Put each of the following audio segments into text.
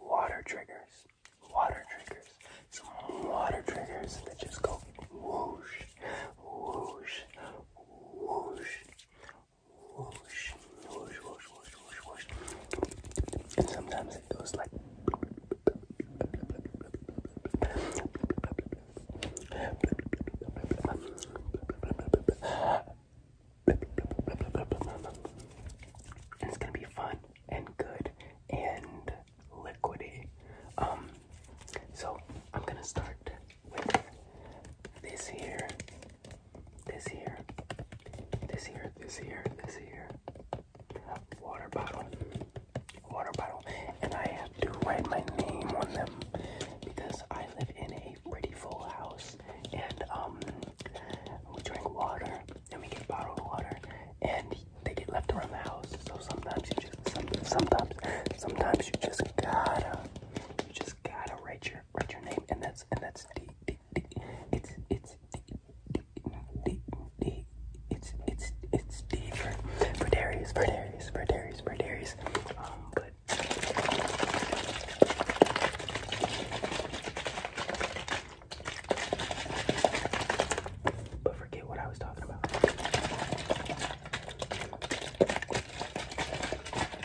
water triggers, water triggers, some water triggers that just go whoosh, whoosh, whoosh, whoosh, whoosh, whoosh, whoosh, whoosh, whoosh. And sometimes it goes like and it's gonna be fun and good and liquidy. Um, so I'm gonna start with this here, this here, this here, this here, this here. Water bottle, water bottle, and I have to write my name on them because I live in a pretty full house and um, we drink water, and we get bottled water, and they get left around the house. So sometimes you just, some, sometimes, sometimes you just gotta, you just gotta write your, write your name, and that's, and that's D, D, D, it's, it's D, D, D, D, it's, it's, it's D for, for Darius, for Darius, for Darius, for Darius. Um, but but forget what I was talking about. I'm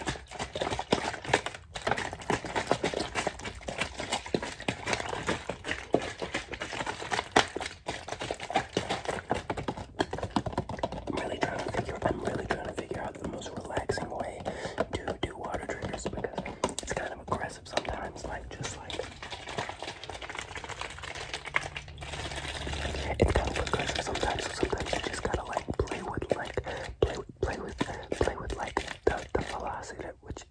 really trying to figure. I'm really trying to figure the most relaxing way to do water triggers because it's kind of aggressive sometimes, like just like it's kind of aggressive sometimes, so sometimes you just gotta like play with like play with play with play with like the, the velocity at which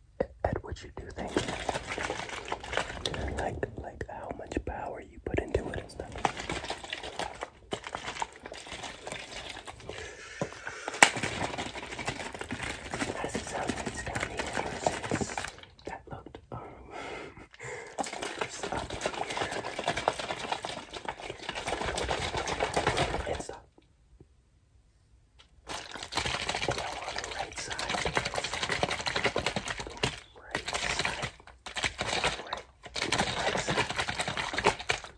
at which you do things. Like like how much power you put into it and stuff. As his outfits down here, that looked um up here. And stop. And now on the right side. Right side. Right. Right side.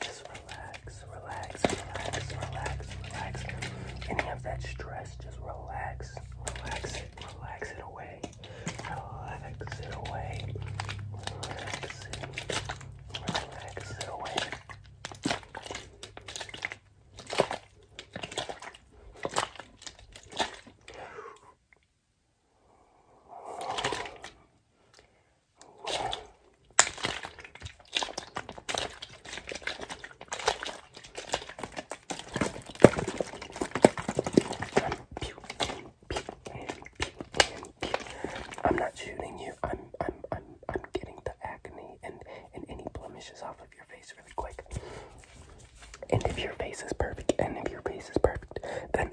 Just relax, relax, relax, relax, relax. Any of that stress, just relax, relax it, relax it away, relax it away, relax it, relax it away. I'm not shooting you. I'm I'm I'm I'm getting the acne and and any blemishes off of your face really quick. And if your face is perfect, and if your face is perfect, then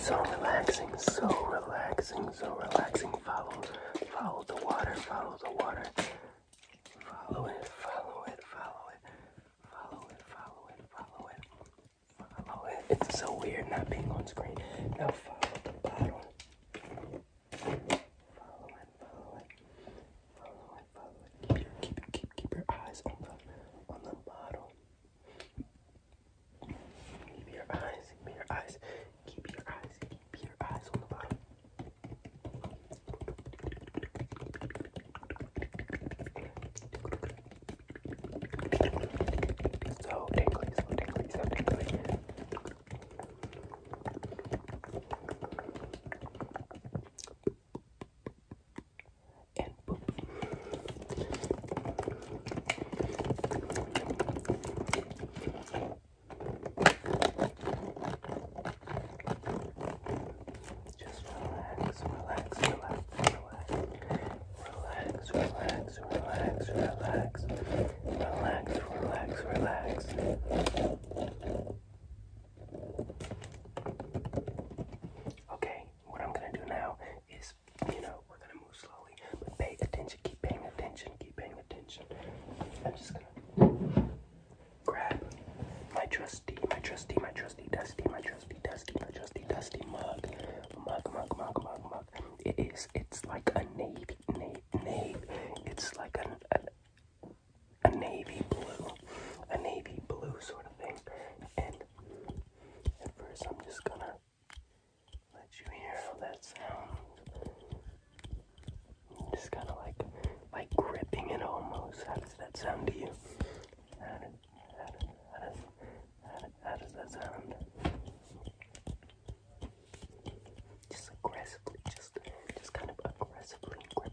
So relaxing, so relaxing, so relaxing. Follow, follow the water, follow the water. Follow it, follow it, follow it, follow it, follow it, follow it, follow it. It's so weird not being on screen. Now follow the bottle. Follow it, follow it, Follow it, follow it. Keep, keep, keep, keep your eyes on the on the model. Keep your eyes, keep your eyes, keep your eyes, keep your eyes on the bottom. So tingly, so tingly, so tingly and boop. Just relax, relax, relax, relax, relax, relax, relax, relax, relax, relax, relax. Okay, what I'm gonna do now is, you know, we're gonna move slowly, but pay attention, keep paying attention, keep paying attention. I'm just gonna grab my trusty, my trusty, my trusty, dusty, my trusty, dusty, my trusty, dusty mug, mug, mug, mug, mug, mug. It is, it's like a navy, navy, navy. It's like an, an a navy blue, a navy blue sort of thing. And at first, I'm just gonna let you hear how that sounds. Just kind of like, like gripping it almost. How does that sound to you? How does, how does, how does, how does, that sound? Just aggressively, just, just kind of aggressively grip,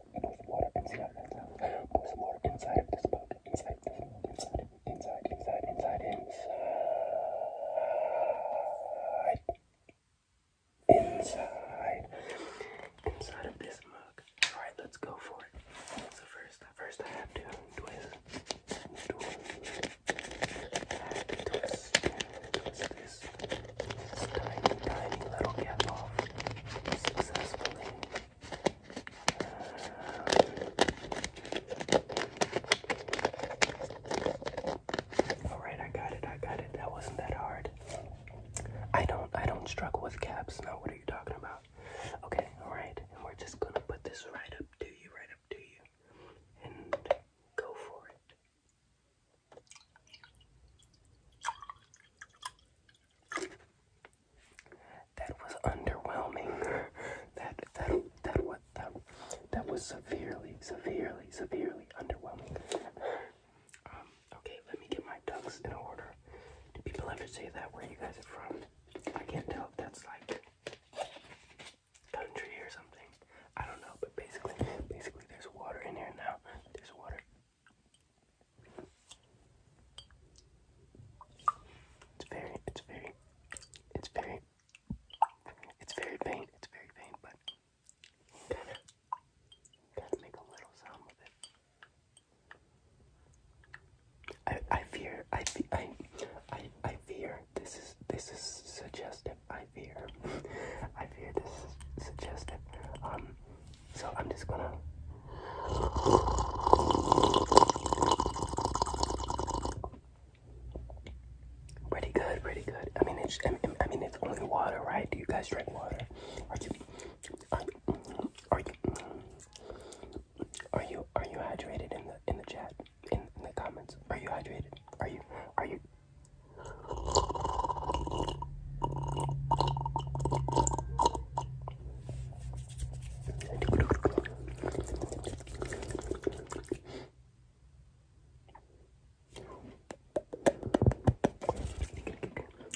and there's water inside that towel. There's water inside of this boat. Inside Inside. Inside. Inside. Inside. Inside. Inside. Inside of this mug. Alright, let's go for it. So first, first I have to Twist. Twist, twist this tiny, tiny little cap off successfully. Alright, I got it, I got it. That wasn't that hard. I don't I don't struggle with caps. Now what are you talking about? Okay, alright. we're just gonna put this right up to you, right up to you. And go for it. That was underwhelming. That that that what that that was severely, severely, severely underwhelming. Um, okay, let me get my ducks in order. Do people have to say that where you guys are from? I can't tell if that's like country or something. I don't know, but basically basically there's water in here now. There's water. It's very, it's very, it's very, it's very faint, it's very faint, but kind of, kind of make a little sound with it. I, I fear, I, fe I, I, I fear this is, this is suggestive, I fear, I fear this is suggestive, um, so I'm just gonna. Pretty good, pretty good. I mean, it's I mean, it's only water, right? Do you guys drink water? Are you, are you, are you, are you, are you hydrated in the in the chat in the comments? Are you hydrated? Are you, are you,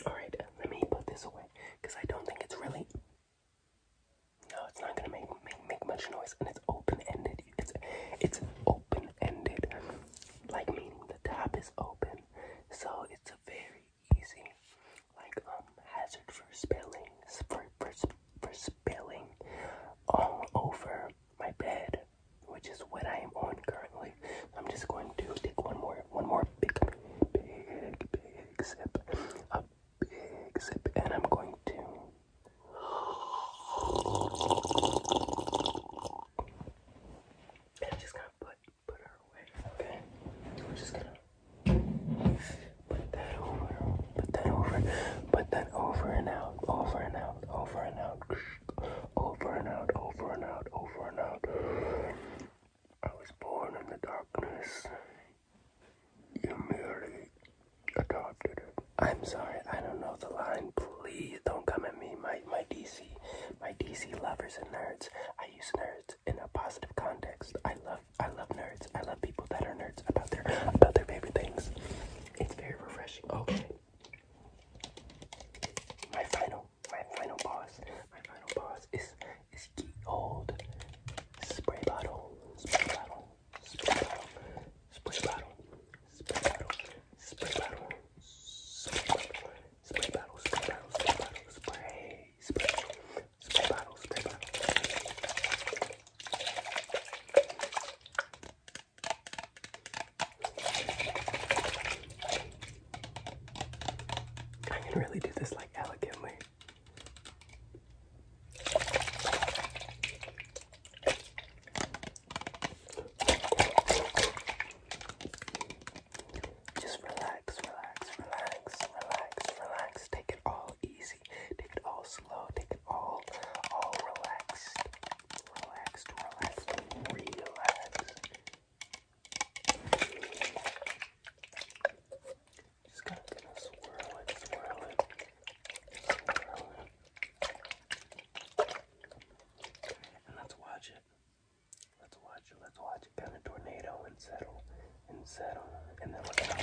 all right, let me put this away because I don't think it's really. No, it's not gonna make make, make much noise, and it's open ended. It's it's open ended, like meaning the top is open time. So it's a very easy, like um, hazard for spilling, for, for, for spilling all over my bed, which is what I am on currently. I'm just going to take one more, one more big, big, big sip, a big sip, and I'm going to. I'm just gonna put put her away. Okay. I'm just gonna put that over. Put that over. Put that over and out. Over and out. Over and out. Over and out. Over and out. Over and out. I was born in the darkness. You merely adopted it. I'm sorry, I don't know the line. Please don't come at me. My my DC my DC lovers and nerds. I use nerds in a positive context. I love I love nerds. I love people that are nerds about their about their favorite things. It's very refreshing. Okay. My final my final boss. My final boss is is the old spray bottle. Spray bottle. Spray bottle. Spray bottle. Spray bottle, spray bottle, spray bottle, spray bottle, spray bottle, spray bottle, spray, spray, spray bottle, spray bottle. I can really do this like elegantly. Just relax, relax, relax, relax, relax. Take it all easy. Take it all slow. Take it all, all relaxed. Relaxed, relaxed, relaxed. Just gonna, swirl it, swirl it, swirl it. And let's watch it. Let's watch it. Let's watch it. Kind of tornado and settle and settle. And then look at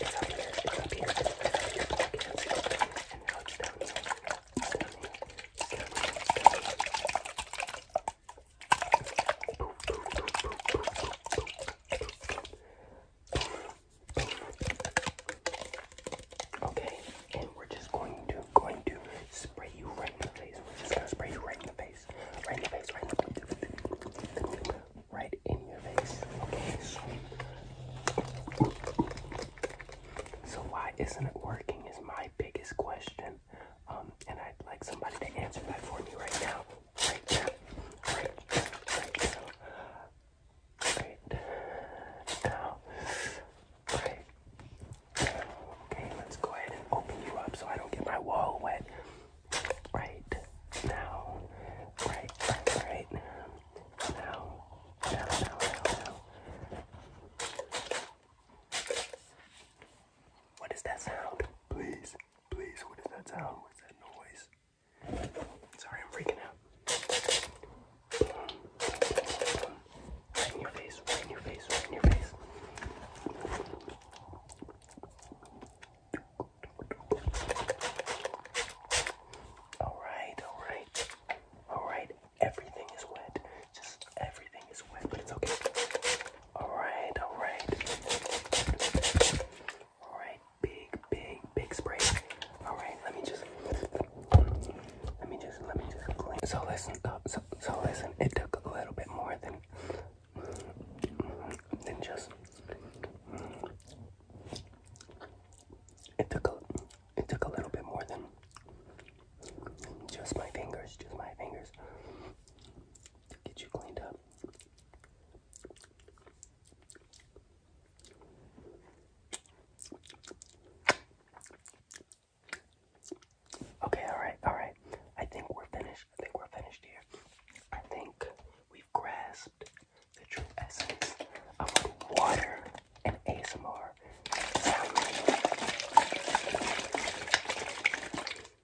It's up here. It's up here. It's up here. And now it's down here. It's down here. It's down here. It's down here. Boop, boop, boop, boop, boop, boop, boop, boop. Okay, and we're just going to going to spray you right in the face. We're just gonna spray you right in the face. Right in the face, right in the face. Right in your face. Okay, so why isn't it working is my biggest question. Um, and I'd like somebody to answer that for me right now. Right now, right. Okay, let's go ahead and open you up so I don't get my wall wet. Right now, right, right, now, now, now, now. What is that sound? Please, please, what is that sound? What's that noise? Sorry, I'm freaking out. Right in your face, right in your face, right in your face. Alright, alright. Alright, everything is wet. Just everything is wet, but it's okay. Alright, alright. All right, big, big, big spray. All right, let me just, let me just, let me just clean. So listen, uh, so, so listen. It took a little bit more than than just. It took a, it took a little bit more than just my fingers, just my fingers to get you cleaned up. Okay, alright, alright. I think we're finished. I think we're finished here. I think we've grasped the true essence of water and ASMR